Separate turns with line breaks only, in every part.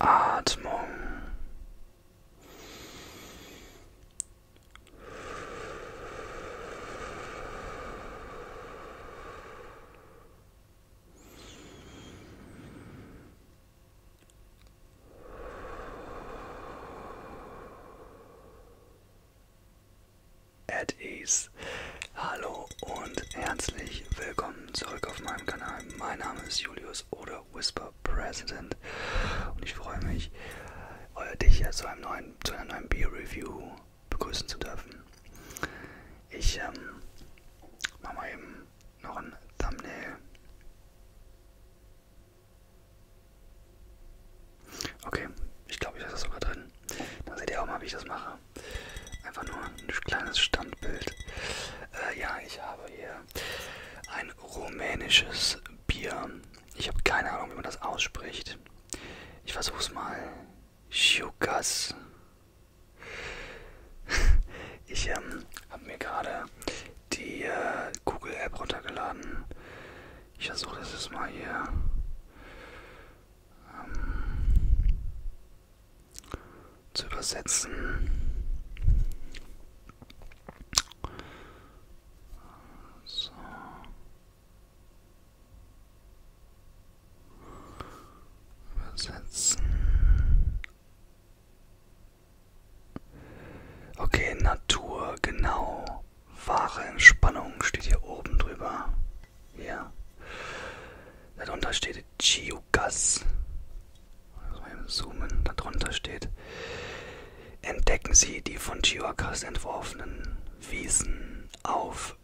Atmung At ease. Hallo und herzlich willkommen zurück auf meinem Kanal. Mein Name ist Julius oder Whisper. Super President. Und ich freue mich, dich hier zu, einem neuen, zu einer neuen Bier-Review begrüßen zu dürfen. Ich ähm, mache mal eben noch ein Thumbnail. Okay, ich glaube, ich lasse das sogar drin. Dann seht ihr auch mal, wie ich das mache. Einfach nur ein kleines Standbild. Äh, ja, ich habe hier ein rumänisches Bier. Ich habe keine Ahnung, wie man das ausspricht. Ich versuche es mal. Schukas. Ich ähm, habe mir gerade die äh, Google App runtergeladen. Ich versuche das jetzt mal hier. Ähm, zu übersetzen. So. Übersetzen. Okay, Natur, genau. Wahre Entspannung steht hier oben drüber. Ja. Darunter steht Chiukas also beim Zoomen darunter steht, entdecken Sie die von Chihuahuas entworfenen Wiesen auf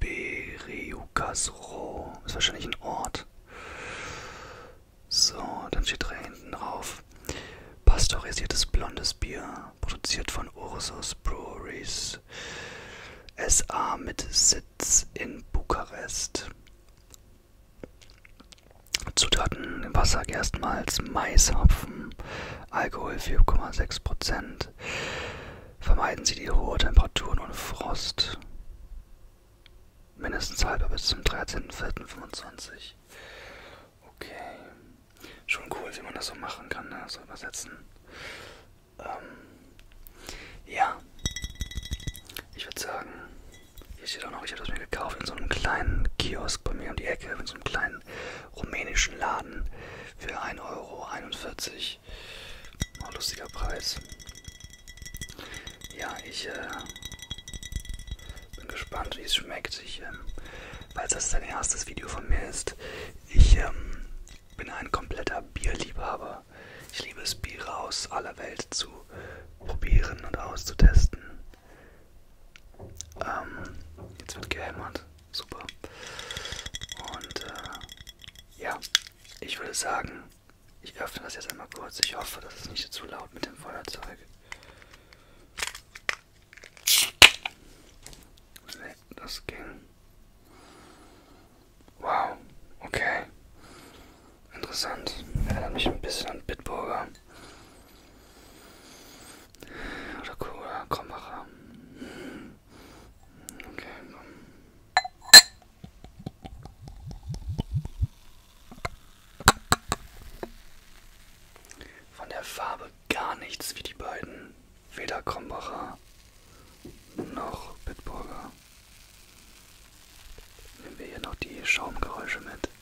Beriucasro. Ist wahrscheinlich ein Ort. So, dann steht da hinten drauf. Pasteurisiertes blondes Bier, produziert von Ursus Breweries. SA mit Sitz in Bukarest. Zutaten im Wasser erstmals Mais, Hopfen, Alkohol 4,6%. Vermeiden Sie die hohe Temperaturen und Frost. Mindestens halber bis zum 13.04.25. Okay. Schon cool, wie man das so machen kann, ne? so übersetzen. Ähm, ja. Ich würde sagen, hier steht auch noch, ich habe das mir gekauft in so einem kleinen Kiosk bei mir um die Ecke, in so einem kleinen rumänischen Laden für 1,41 Euro. Auch oh, lustiger Preis. Ja, ich äh, bin gespannt, wie es schmeckt. Ich, ähm, weil das dein erstes Video von mir ist, ich ähm, bin ein kompletter Bierliebhaber. Ich liebe es, Biere aus aller Welt zu probieren und auszutesten. Ähm, jetzt wird gehämmert. Super. Und äh, ja, ich würde sagen, ich öffne das jetzt einmal kurz. Ich hoffe, das ist nicht zu laut mit dem Feuerzeug. Ne, das ging. Wow, okay. Interessant. Erinnert mich ein bisschen an Bitburger. Oder Cola, Krombacher. Okay, komm. Von der Farbe gar nichts wie die beiden. Weder Krombacher noch Bitburger. Nehmen wir hier noch die Schaumgeräusche mit.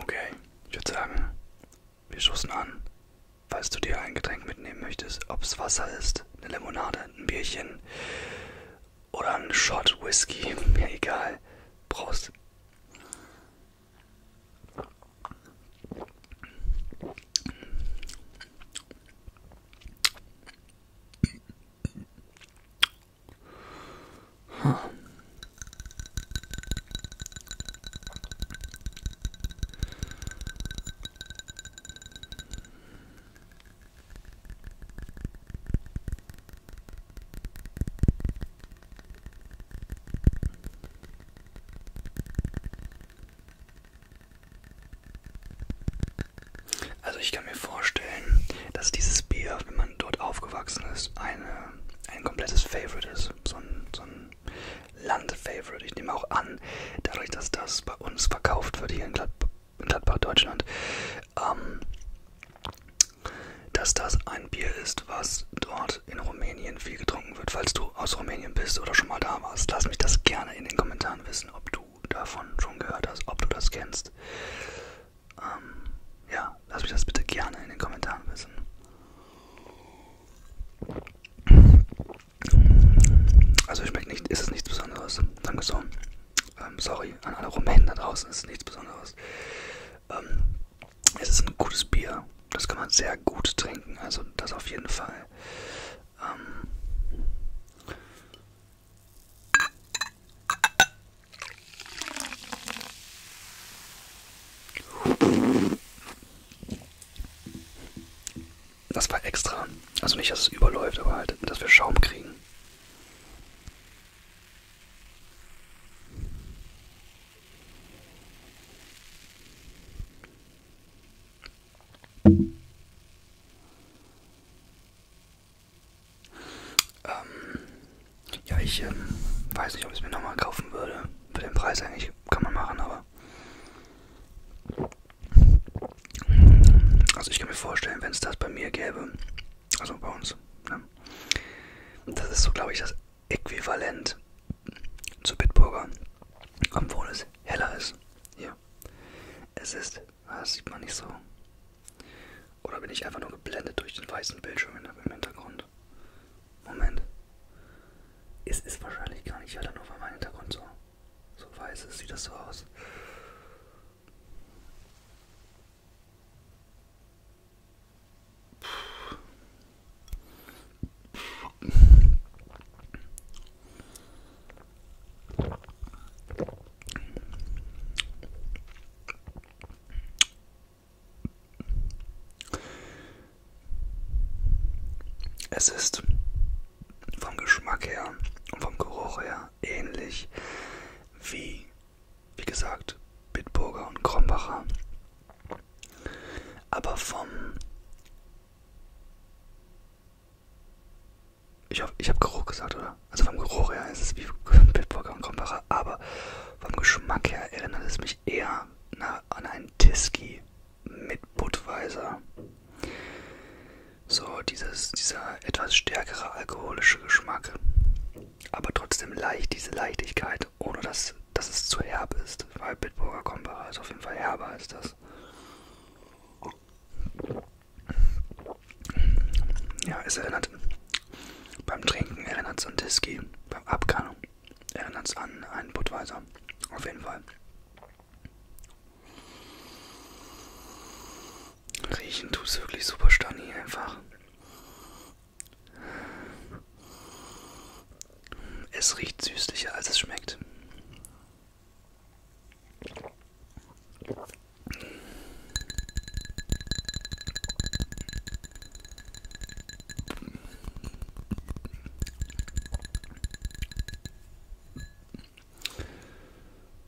Okay, ich würde sagen, wir stoßen an. Falls du dir ein Getränk mitnehmen möchtest, ob es Wasser ist, eine Limonade, ein Bierchen, oder ein Shot Whisky, mir egal. Prost. Huh. Also ich kann mir vorstellen, dass dieses Bier, wenn man dort aufgewachsen ist, eine, ein komplettes Favorite ist. So ein, so ein Land-Favorite. Ich nehme auch an, dadurch, dass das bei uns verkauft wird hier in Gladbach, Gladbach, Deutschland, ähm, dass das ein Bier ist, was dort in Rumänien viel getrunken wird. Falls du aus Rumänien bist oder schon mal da warst, lass mich das gerne in den Kommentaren wissen, ob du davon schon gehört hast, ob du das kennst. Ähm, ja, lass mich das bitte gerne in den Kommentaren wissen. Also schmeckt nicht, ist es nichts Besonderes. Danke so. Ähm, sorry, an alle Rumänen da draußen ist nichts Besonderes. Ähm, es ist ein gutes Bier. Das kann man sehr gut trinken, also das auf jeden Fall. Ähm, Das war extra. Also nicht, dass es überläuft, aber halt, dass wir Schaum kriegen. Ähm, ja, ich ähm, weiß nicht, ob ich es mir nochmal kaufen würde. Für den Preis eigentlich kann man machen, aber. Also ich kann mir vorstellen, wenn es das bei mir gäbe, also bei uns. Ne? Das ist so, glaube ich, das Äquivalent zu Bitburger, obwohl es heller ist. Hier. Es ist, ah, das sieht man nicht so. Oder bin ich einfach nur geblendet durch den weißen Bildschirm im Hintergrund? Moment. Es ist wahrscheinlich gar nicht heller, nur weil mein Hintergrund so, so weiß ist. Sieht das so aus? Es ist vom Geschmack her und vom Geruch her ähnlich wie wie gesagt, Bitburger und Krombacher. Aber vom. Ich hoffe, ich habe Geruch gesagt, oder? Also vom Geruch her ist es wie Bitburger und Krombacher, aber vom Geschmack her erinnert es mich eher an einen Tiski mit Budweiser. So, dieses, dieser etwas stärkere alkoholische Geschmack aber trotzdem leicht, diese Leichtigkeit, ohne dass, dass es zu herb ist, weil Bitburger Kombacher ist auf jeden Fall herber als das. Ja, es erinnert beim Trinken, erinnert es an Whisky, beim Abkannung erinnert es an einen Budweiser, auf jeden Fall. Riechen tust wirklich super Stani einfach. Es riecht süßlicher als es schmeckt.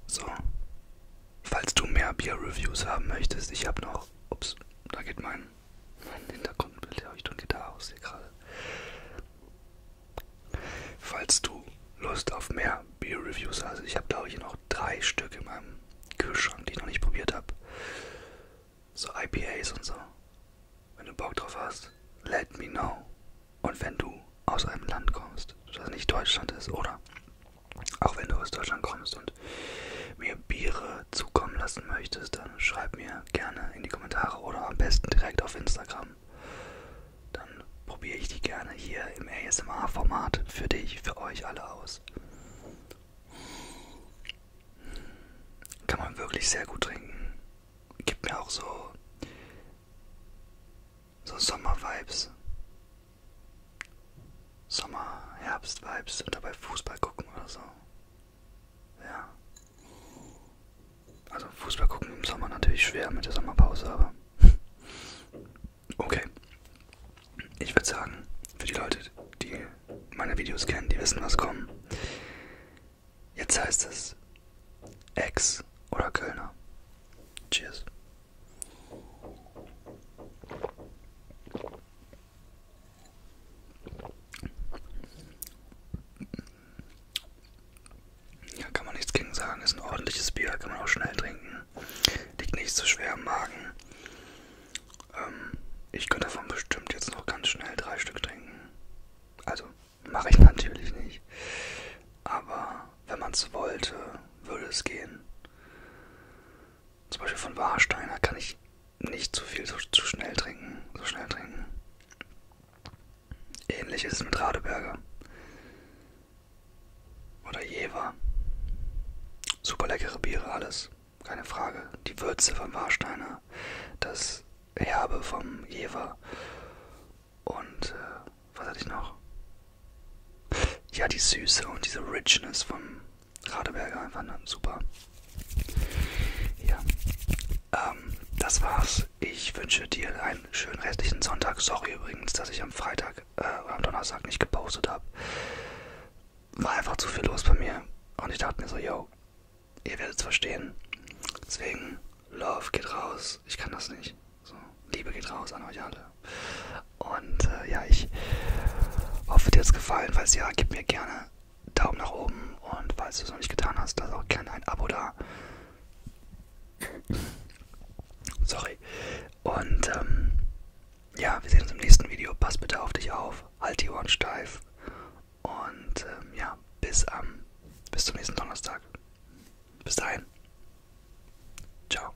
So, Falls du mehr Bier-Reviews haben möchtest, ich habe noch. Ups, da geht mein, mein Hintergrundbeleuchtung geht da aus hier gerade. Falls du Lust auf mehr Bier-Reviews hast, ich habe glaube ich noch drei Stück in meinem Kühlschrank, die ich noch nicht probiert habe. So IPAs und so. Wenn du Bock drauf hast, let me know. Und wenn du aus einem Land kommst, das nicht Deutschland ist, oder auch wenn du aus Deutschland kommst und mir Biere zukommen lassen möchtest, dann schreib mir gerne in die Kommentare oder am besten direkt auf Instagram. Dann probiere ich die gerne hier im ASMR-Format für dich, für euch alle aus. Kann man wirklich sehr gut trinken. Gibt mir auch so, so Sommer-Vibes. Sommer, Herbst-Vibes und dabei Fußball gucken oder so. Ja. Also Fußball gucken im Sommer natürlich schwer mit der Sommerpause, aber. Okay. Ich würde sagen, für die Leute, die meine Videos kennen, die wissen, was kommen. Jetzt heißt es Ex oder Kölner. Cheers. Ja, kann man nichts gegen sagen. Ist ein ordentliches Bier, kann man auch schnell trinken. Liegt nicht so schwer im Magen. Ähm, ich könnte davon bestimmt jetzt noch ganz schnell drei Stück trinken. Also, mache ich natürlich nicht. Aber wenn man es wollte, würde es gehen. Zum Beispiel von Warsteiner kann ich nicht zu viel, so, zu schnell trinken, so schnell trinken. Ähnlich ist es mit Radeberger. Oder Jever. Super leckere Biere, alles. Keine Frage. Die Würze vom Warsteiner, das Herbe vom Jever und äh, was hatte ich noch? Ja, die Süße und diese Richness vom Radeberger einfach ne, super. Ja, ähm, das war's. Ich wünsche dir einen schönen restlichen Sonntag. Sorry übrigens, dass ich am Freitag äh, oder am Donnerstag nicht gepostet habe. War einfach zu viel los bei mir. Und ich dachte mir so, yo, ihr werdet es verstehen. Deswegen, Love geht raus. Ich kann das nicht. So, Liebe geht raus an euch alle. Und äh, ja, ich hoffe, dir hat's gefallen. Falls ja, gib mir gerne Daumen nach oben. Und falls du es noch nicht getan hast, lass auch gerne ein Abo da. Sorry. Und ähm, ja, wir sehen uns im nächsten Video. Pass bitte auf dich auf. Halt die Ohren steif. Und ähm, ja, bis am ähm, bis zum nächsten Donnerstag. Bis dahin. Ciao.